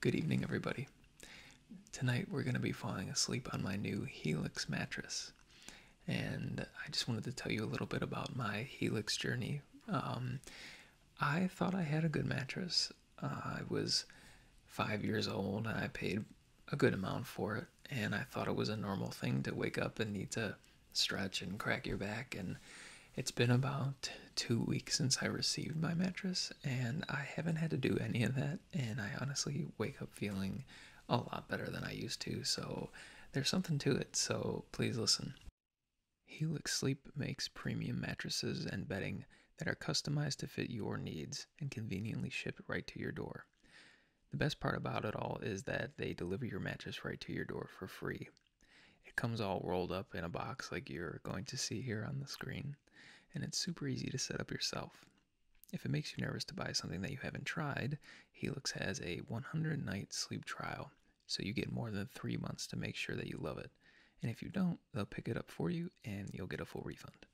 Good evening, everybody. Tonight we're going to be falling asleep on my new Helix mattress. And I just wanted to tell you a little bit about my Helix journey. Um, I thought I had a good mattress. I was five years old and I paid a good amount for it. And I thought it was a normal thing to wake up and need to stretch and crack your back and it's been about two weeks since I received my mattress, and I haven't had to do any of that. And I honestly wake up feeling a lot better than I used to, so there's something to it. So please listen. Helix Sleep makes premium mattresses and bedding that are customized to fit your needs and conveniently shipped right to your door. The best part about it all is that they deliver your mattress right to your door for free. It comes all rolled up in a box like you're going to see here on the screen, and it's super easy to set up yourself. If it makes you nervous to buy something that you haven't tried, Helix has a 100 night sleep trial, so you get more than three months to make sure that you love it. And if you don't, they'll pick it up for you and you'll get a full refund.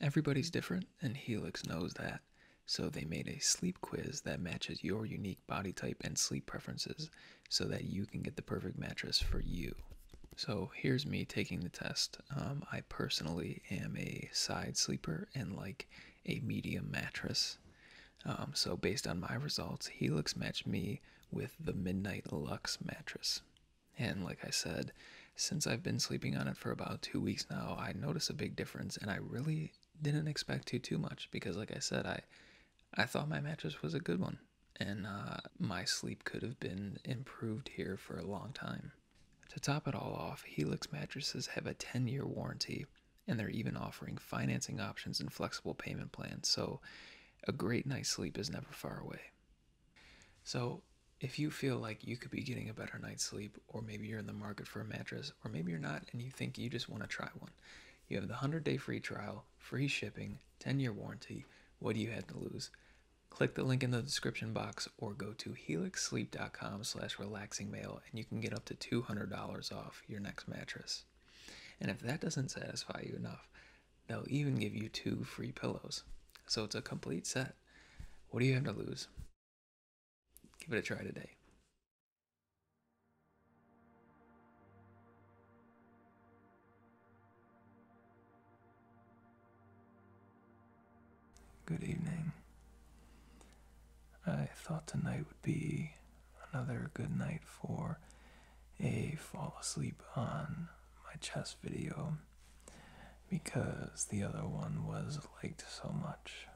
Everybody's mm-hmm. different, and Helix knows that. So they made a sleep quiz that matches your unique body type and sleep preferences so that you can get the perfect mattress for you. So here's me taking the test. Um, I personally am a side sleeper and like a medium mattress. Um, so based on my results, Helix matched me with the Midnight Lux mattress. And like I said, since I've been sleeping on it for about two weeks now, I notice a big difference and I really didn't expect to too much because like I said, I I thought my mattress was a good one and uh, my sleep could have been improved here for a long time. To top it all off, Helix mattresses have a 10 year warranty, and they're even offering financing options and flexible payment plans, so a great night's sleep is never far away. So, if you feel like you could be getting a better night's sleep, or maybe you're in the market for a mattress, or maybe you're not and you think you just want to try one, you have the 100 day free trial, free shipping, 10 year warranty. What do you have to lose? Click the link in the description box or go to helixsleep.com slash relaxingmail and you can get up to $200 off your next mattress. And if that doesn't satisfy you enough, they'll even give you two free pillows. So it's a complete set. What do you have to lose? Give it a try today. Good evening. I thought tonight would be another good night for a fall asleep on my chess video because the other one was liked so much.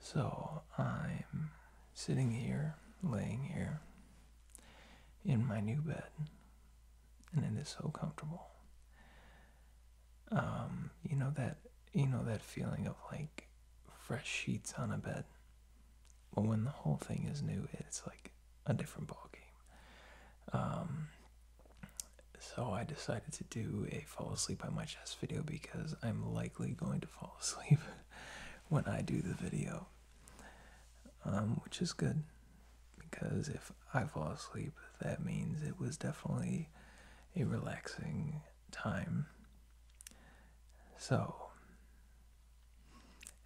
So I'm sitting here, laying here, in my new bed, and it is so comfortable. Um, you know that you know that feeling of like fresh sheets on a bed. Well, when the whole thing is new, it's like a different ball game. Um, so I decided to do a fall asleep on my chest video because I'm likely going to fall asleep when I do the video. Um, which is good because if I fall asleep, that means it was definitely a relaxing time. So,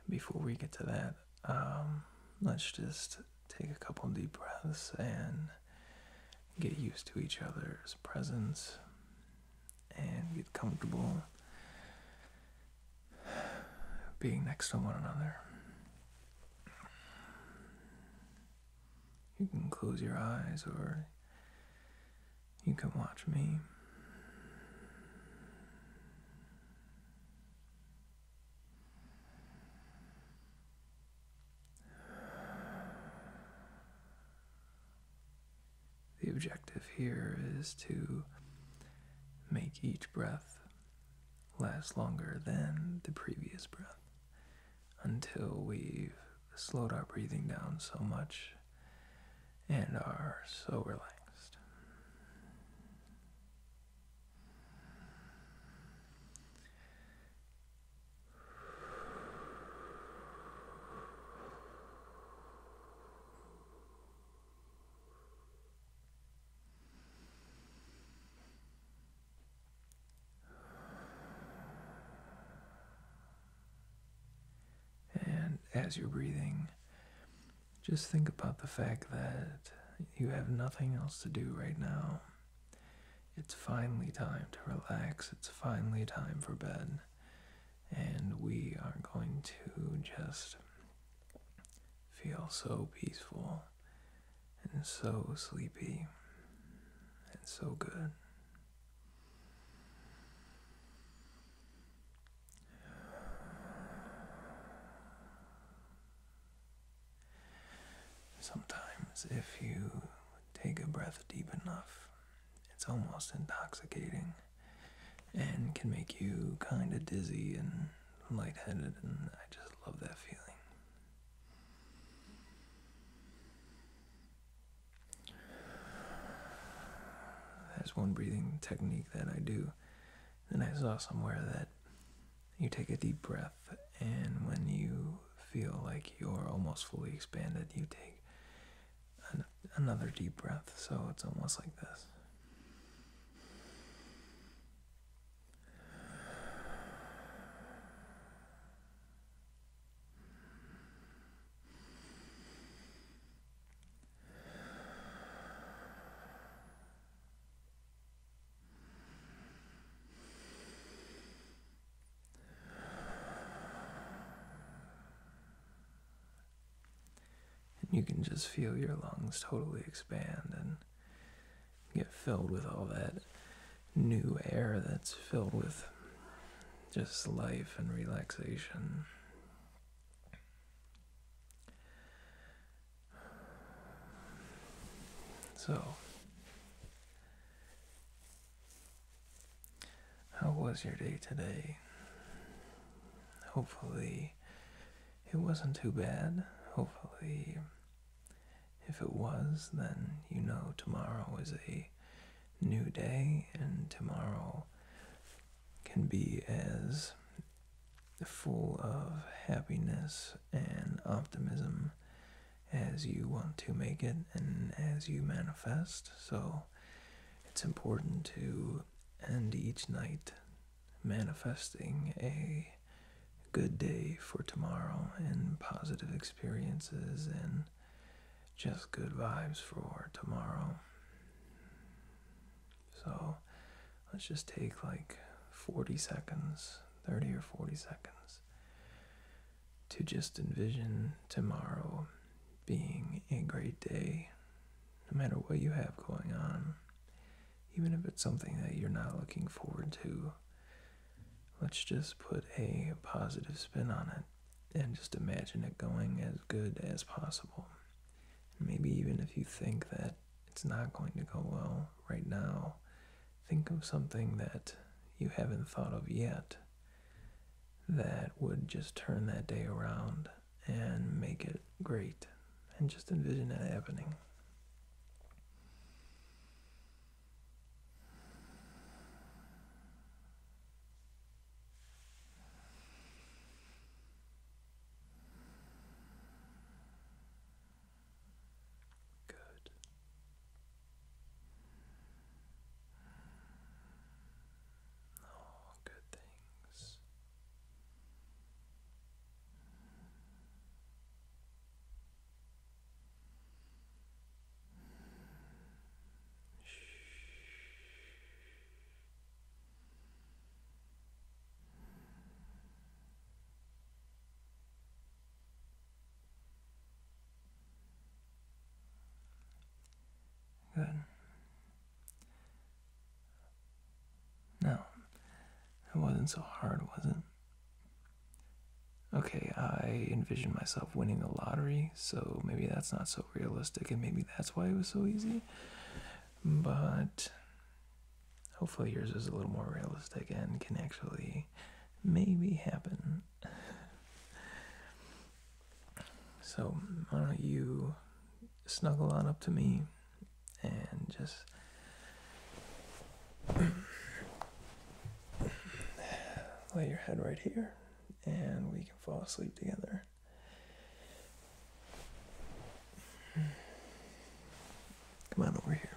before we get to that, um, let's just take a couple deep breaths and get used to each other's presence and get comfortable being next to one another. You can close your eyes or you can watch me. The objective here is to make each breath last longer than the previous breath until we've slowed our breathing down so much and are so relaxed. And as you're breathing, just think about the fact that you have nothing else to do right now. It's finally time to relax. It's finally time for bed. And we are going to just feel so peaceful and so sleepy and so good. Sometimes, if you take a breath deep enough, it's almost intoxicating and can make you kind of dizzy and lightheaded, and I just love that feeling. There's one breathing technique that I do. and I saw somewhere that you take a deep breath, and when you feel like you're almost fully expanded, you take another deep breath. So it's almost like this. And you can just feel your lungs totally expand and get filled with all that new air that's filled with just life and relaxation. So, how was your day today? Hopefully, it wasn't too bad. Hopefully, if it was, then you know tomorrow is a new day, and tomorrow can be as full of happiness and optimism as you want to make it and as you manifest. So, it's important to end each night manifesting a good day for tomorrow and positive experiences and just good vibes for tomorrow. So let's just take like 40 seconds, 30 or 40 seconds, to just envision tomorrow being a great day no matter what you have going on, even if it's something that you're not looking forward to, let's just put a positive spin on it and just imagine it going as good as possible. maybe even if you think that it's not going to go well right now, think of something that you haven't thought of yet that would just turn that day around and make it great. And just envision it happening all oh, good things. Good. No, it wasn't so hard, was it? Okay, I envisioned myself winning the lottery, so maybe that's not so realistic, and maybe that's why it was so easy. But hopefully, yours is a little more realistic and can actually maybe happen. so, why don't you snuggle on up to me and just lay your head right here and we can fall asleep together. Come on over here.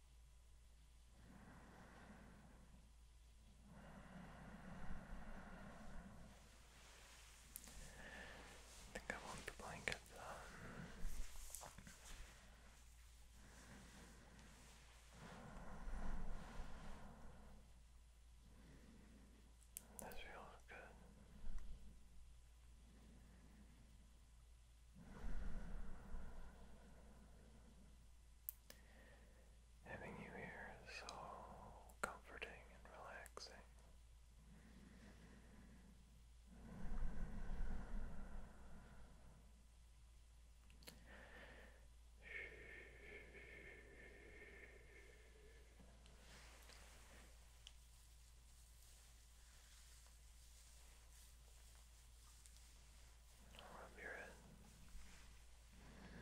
I think I want the blanket though. This good. Having you here is so comforting and relaxing. Rub your head. Good.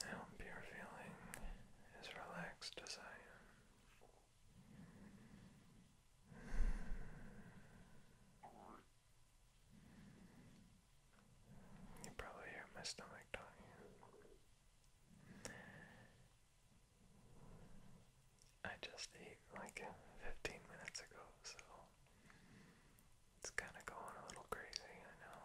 I hope you're feeling as relaxed as I am. You probably hear my stomach talking. I just ate like 15 minutes ago, so it's kind of going a little crazy, I know.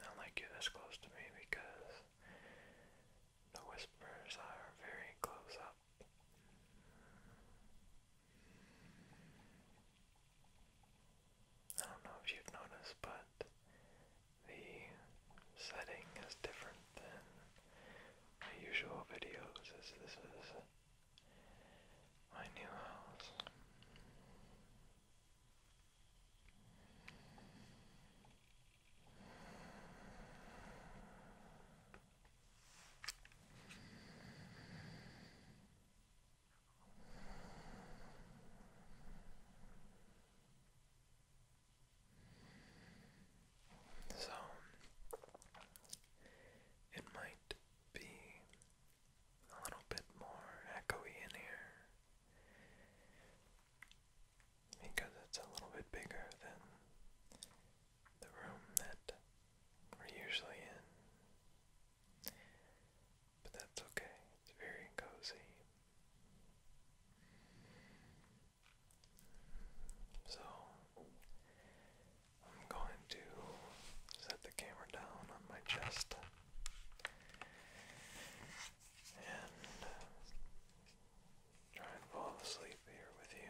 do like you this close to me because the whispers are very close up. I don't know if you've noticed, but the setting is different than my usual videos. This, this is my new house. So it might be a little bit more echoey in here because it's a little bit bigger than the room that we're usually in. But that's okay, it's very cozy. So, I'm going to set the camera down on my chest and try and fall asleep here with you.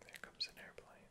There comes an airplane.